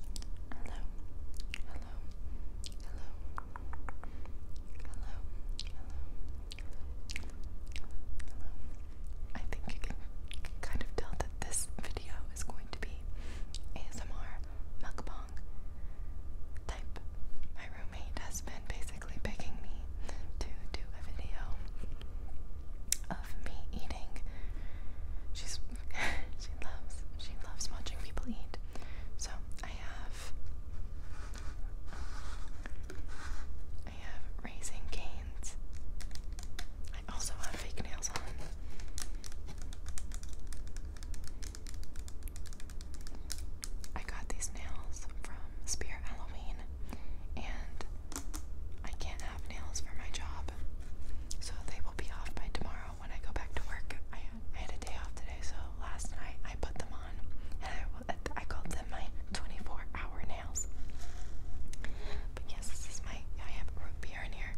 Hello, hello, hello, hello, hello, hello. I think you can kind of tell that this video is going to be ASMR mukbang type. My roommate has been basically begging me to do a video of me eating. She's she loves she loves watching people eat. So I have I have raisin canes. I also have fake nails on. I got these nails from Spear Halloween and I can't have nails for my job. So they will be off by tomorrow when I go back to work. I, had a day off today, so last night I put them on, and I, I called them my 24-hour nails. But yes, this is my. I have root beer in here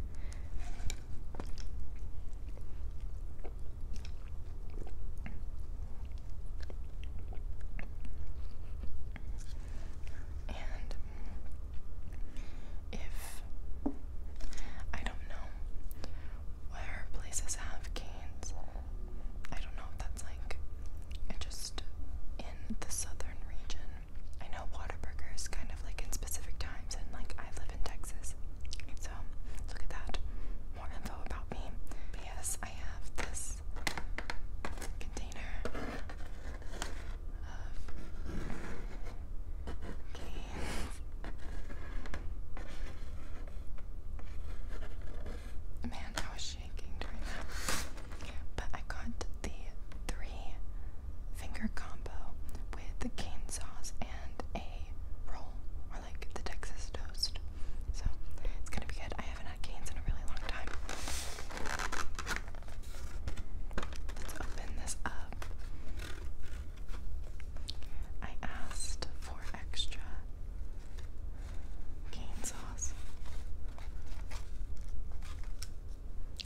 if I don't know where places have canes. I don't know if that's like just in the southern region. I know Whataburger is kind of like in specific times, and like I live in Texas, so look at that. More info about me. yes, I have this container of Man, I was shaking during that. But I got the three finger combo with the cane sauce and a roll, or like the Texas toast. So it's gonna be good. I haven't had canes in a really long time. Let's open this up. I asked for extra cane sauce.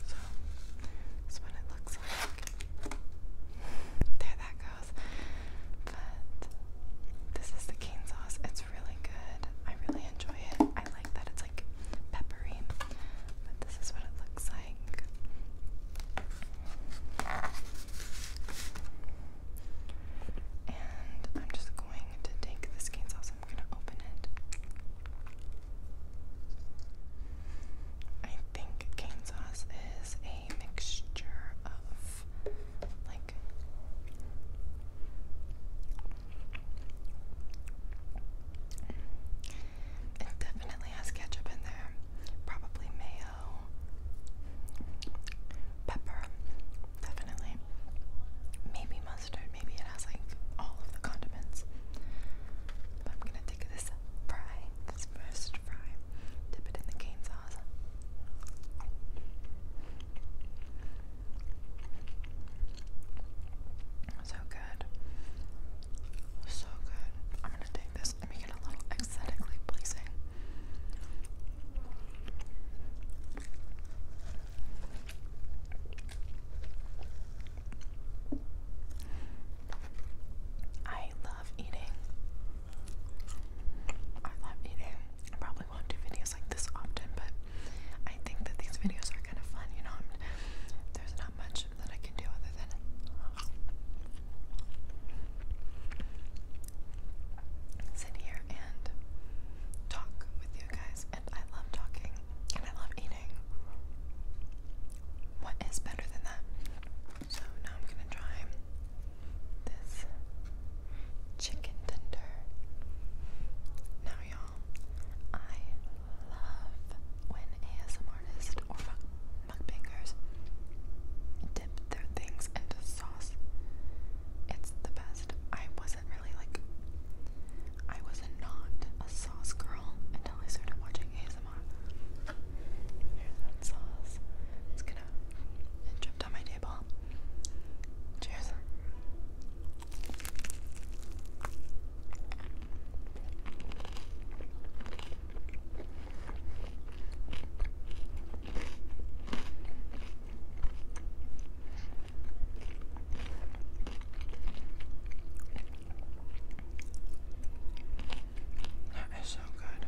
So that's what it looks like. There that goes. But this is the cane sauce. It's really good. I really enjoy it. I like that it's like peppery. But this is what it looks like. And I'm just going to take this chainsaw, so I'm going to open it. I think chainsaws is a mixture of like it definitely has ketchup in there, probably mayo, pepper, definitely. Maybe mustard, maybe it has like all of the condiments. I'm gonna take this fry, this first fry, dip it in the cane sauce. So good. So good. I'm gonna take this and make it a little aesthetically pleasing. I love eating. I love eating. I probably won't do videos like this often, but I think that these videos are kind of fun. You know, there's not much that I can do other than sit here and talk with you guys. And I love talking and I love eating. What is better than that? So now I'm gonna try this chicken tender. Now, y'all, I love when ASM artists or mukbangers dip their things into sauce. It's the best. I wasn't really like, I was not a sauce girl until I started watching ASMR. Here's that sauce. It's gonna it dripped my table. Cheers. That is so good.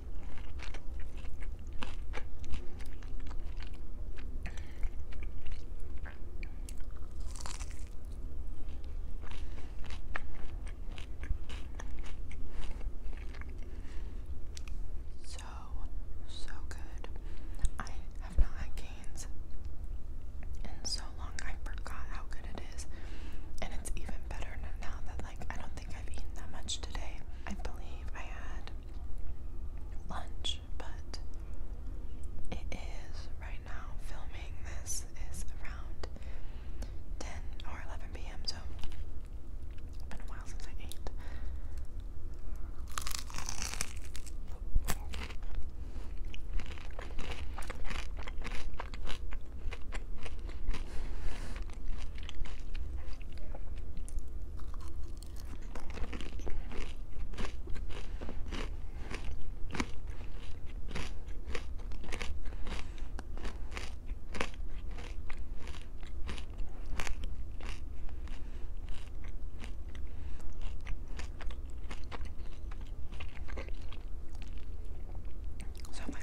So, so good. I have not had canes in so long. I forgot how good it is. And it's even better now that, like, I don't think I've eaten that much today. I believe I had lunch, but it is right now filming this is around 10 or 11 p.m. So it's been a while since I ate. So, my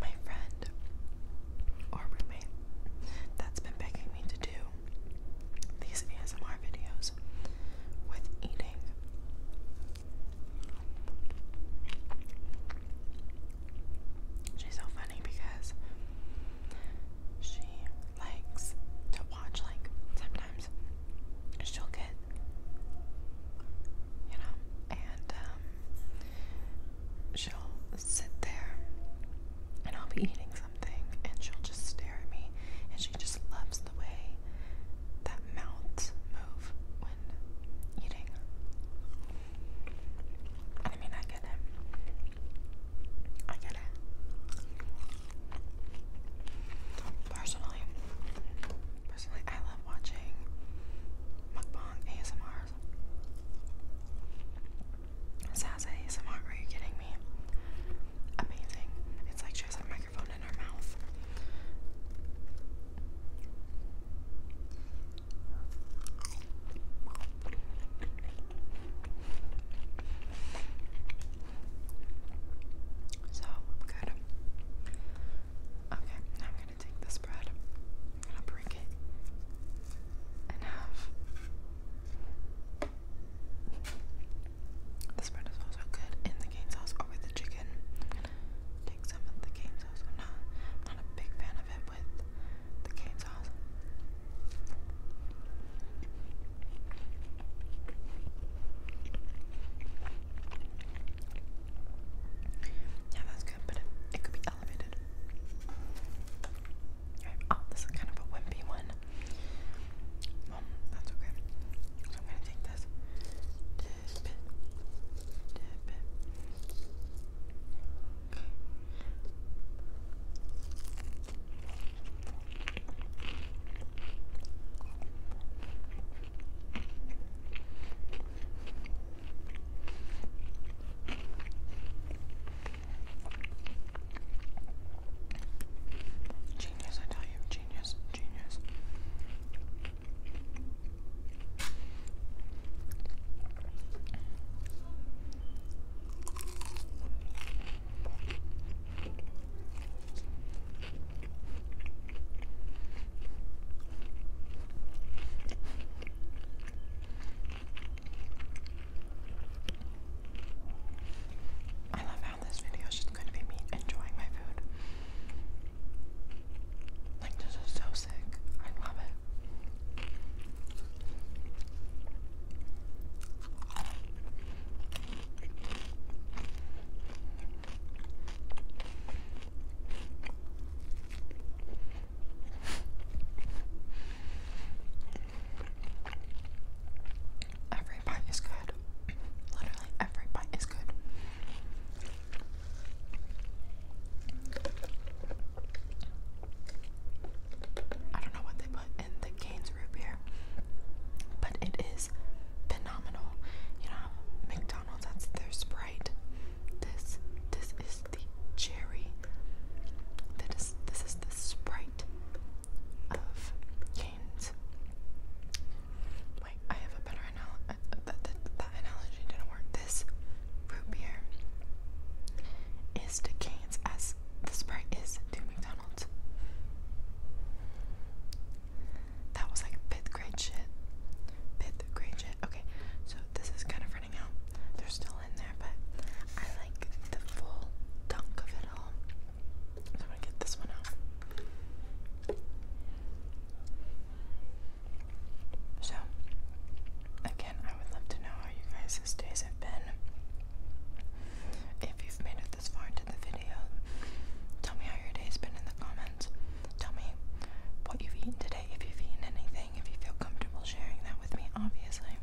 my friend or roommate that's been begging me to do these ASMR videos with eating. She's so funny because she likes to watch like sometimes she'll get, you know, and um, she'll sit there and I'll be eating something and she'll just stare at me and she just loves the way that mouths move when eating. I mean, I get it. I get it. Personally, personally, I love watching mukbang ASMRs. Saz ASMR, are you kidding me? Amazing. It's like she has a microphone in her mouth. So good. Okay, I'm gonna take this bread. I'm gonna break it in half. This bread is also good in the cane sauce or the chicken. take some of the cane sauce. i not, a big fan of it with the cane sauce. Yeah, that's good, but it, could be elevated. Okay. Oh, this is kind of a wimpy one. that's okay. I'm gonna take this. Genius, I tell you, genius, genius. I love how this video is just going to be me enjoying my food. Like, this is so sick. I love it. Every bite is good. Literally, every bite is good. I don't know what they put the Cane's root beer, but it is phenomenal. You know, McDonald's that's their Sprite. This this is the cherry. That is this is the Sprite of Cane's. Wait, I have a better analogy. Uh, uh, that, analogy didn't work. This root beer is to as is the Sprite is to McDonald's. That was like fifth grade shit. Fifth grade shit. Okay, so this is kind of running out. They're still in there, but I like the full dunk of it all. I'm gonna get this one out. So, again, I would love to know how you guys' days have been. If you've made it this far into the video, Tell me how your day's been in the comments. Tell me what you've eaten today, if you've eaten anything, if you feel comfortable sharing that with me, obviously.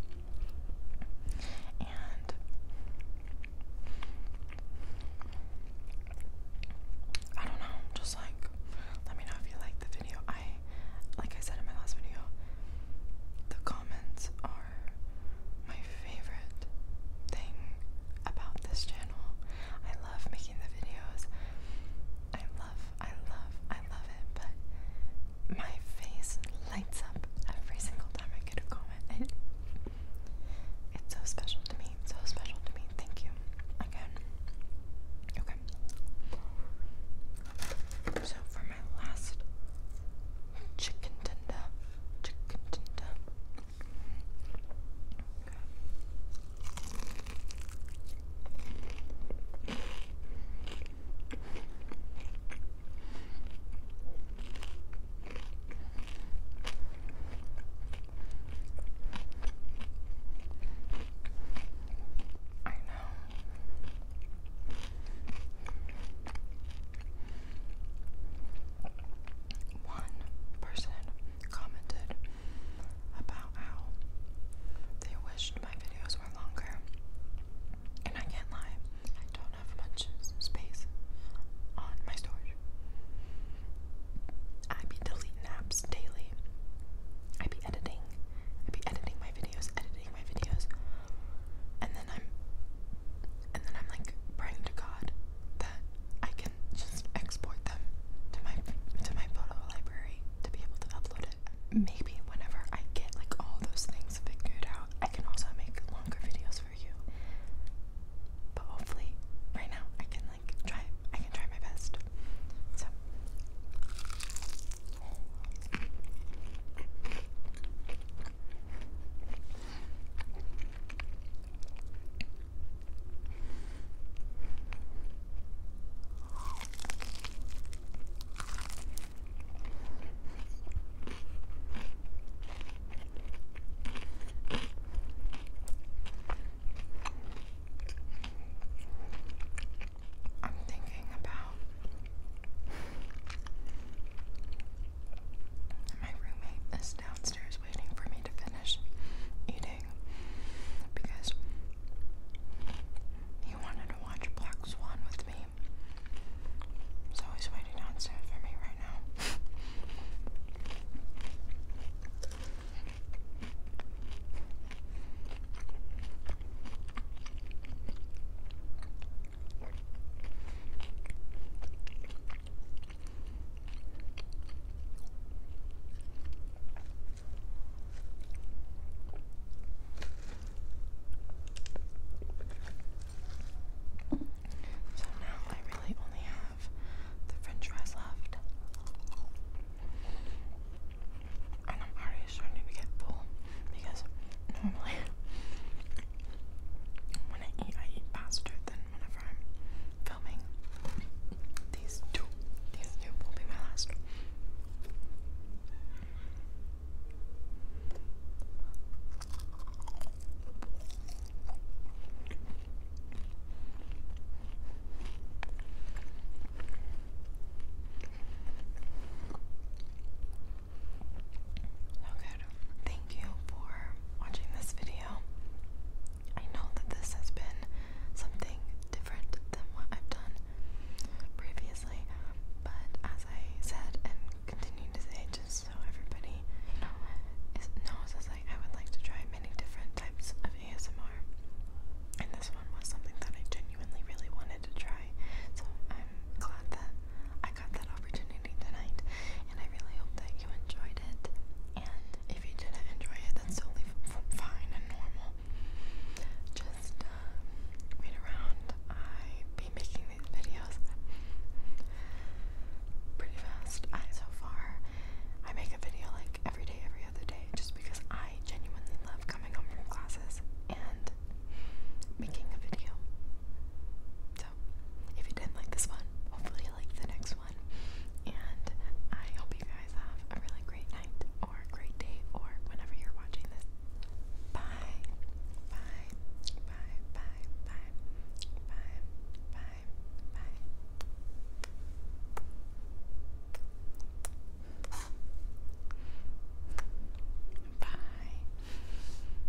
And I don't know, just like let me know if you like the video. I like I said in my last video, the comments are my favorite thing about this channel. I love making the videos. I love, I love, I love it, but my face lights up every single time I get a comment. It, it's so special to me, so special to me. Thank you again. Okay. So for my last chicken tender, Chicken tender. I know. One person commented about how they wished my videos were longer. And I can't lie, I don't have much space on my storage. I be deleting apps daily. I be editing. I be editing my videos, editing my videos and then I'm and then I'm like praying to God that I can just export them to my to my photo library to be able to upload it. Maybe whenever I get like all those things figured out, I can also make longer videos for you. But hopefully, right now I can like try. I can try my best. So. I'm thinking about my roommate is downstairs waiting for me to finish eating because he wanted to watch Black Swan with me. So he's waiting downstairs for me right now. So now I really only have the french fries left. And I'm already starting to get full because normally when I eat, I eat faster than whenever I'm filming. These two, these two will be my last. So Thank you for watching this video. I know that this has been something different than what I've done previously, but as I said and continue to say, just so everybody knows, I would like to try many different types of ASMR, and this one was something that I genuinely really wanted to try. So I'm glad that I got that opportunity tonight, and I really hope that you enjoyed it. And if you didn't enjoy it, that's totally fine and normal. Just um, around. I be making these videos pretty fast. I so far I make a video like every day, every other day, just because I genuinely love coming home from classes and making a video. So, if you did like this one, hopefully you liked the next one. And I hope you guys have a really great night or great day or whenever you're watching this. Bye. Bye. Bye. Bye. Bye. Bye. Bye. Bye. Bye.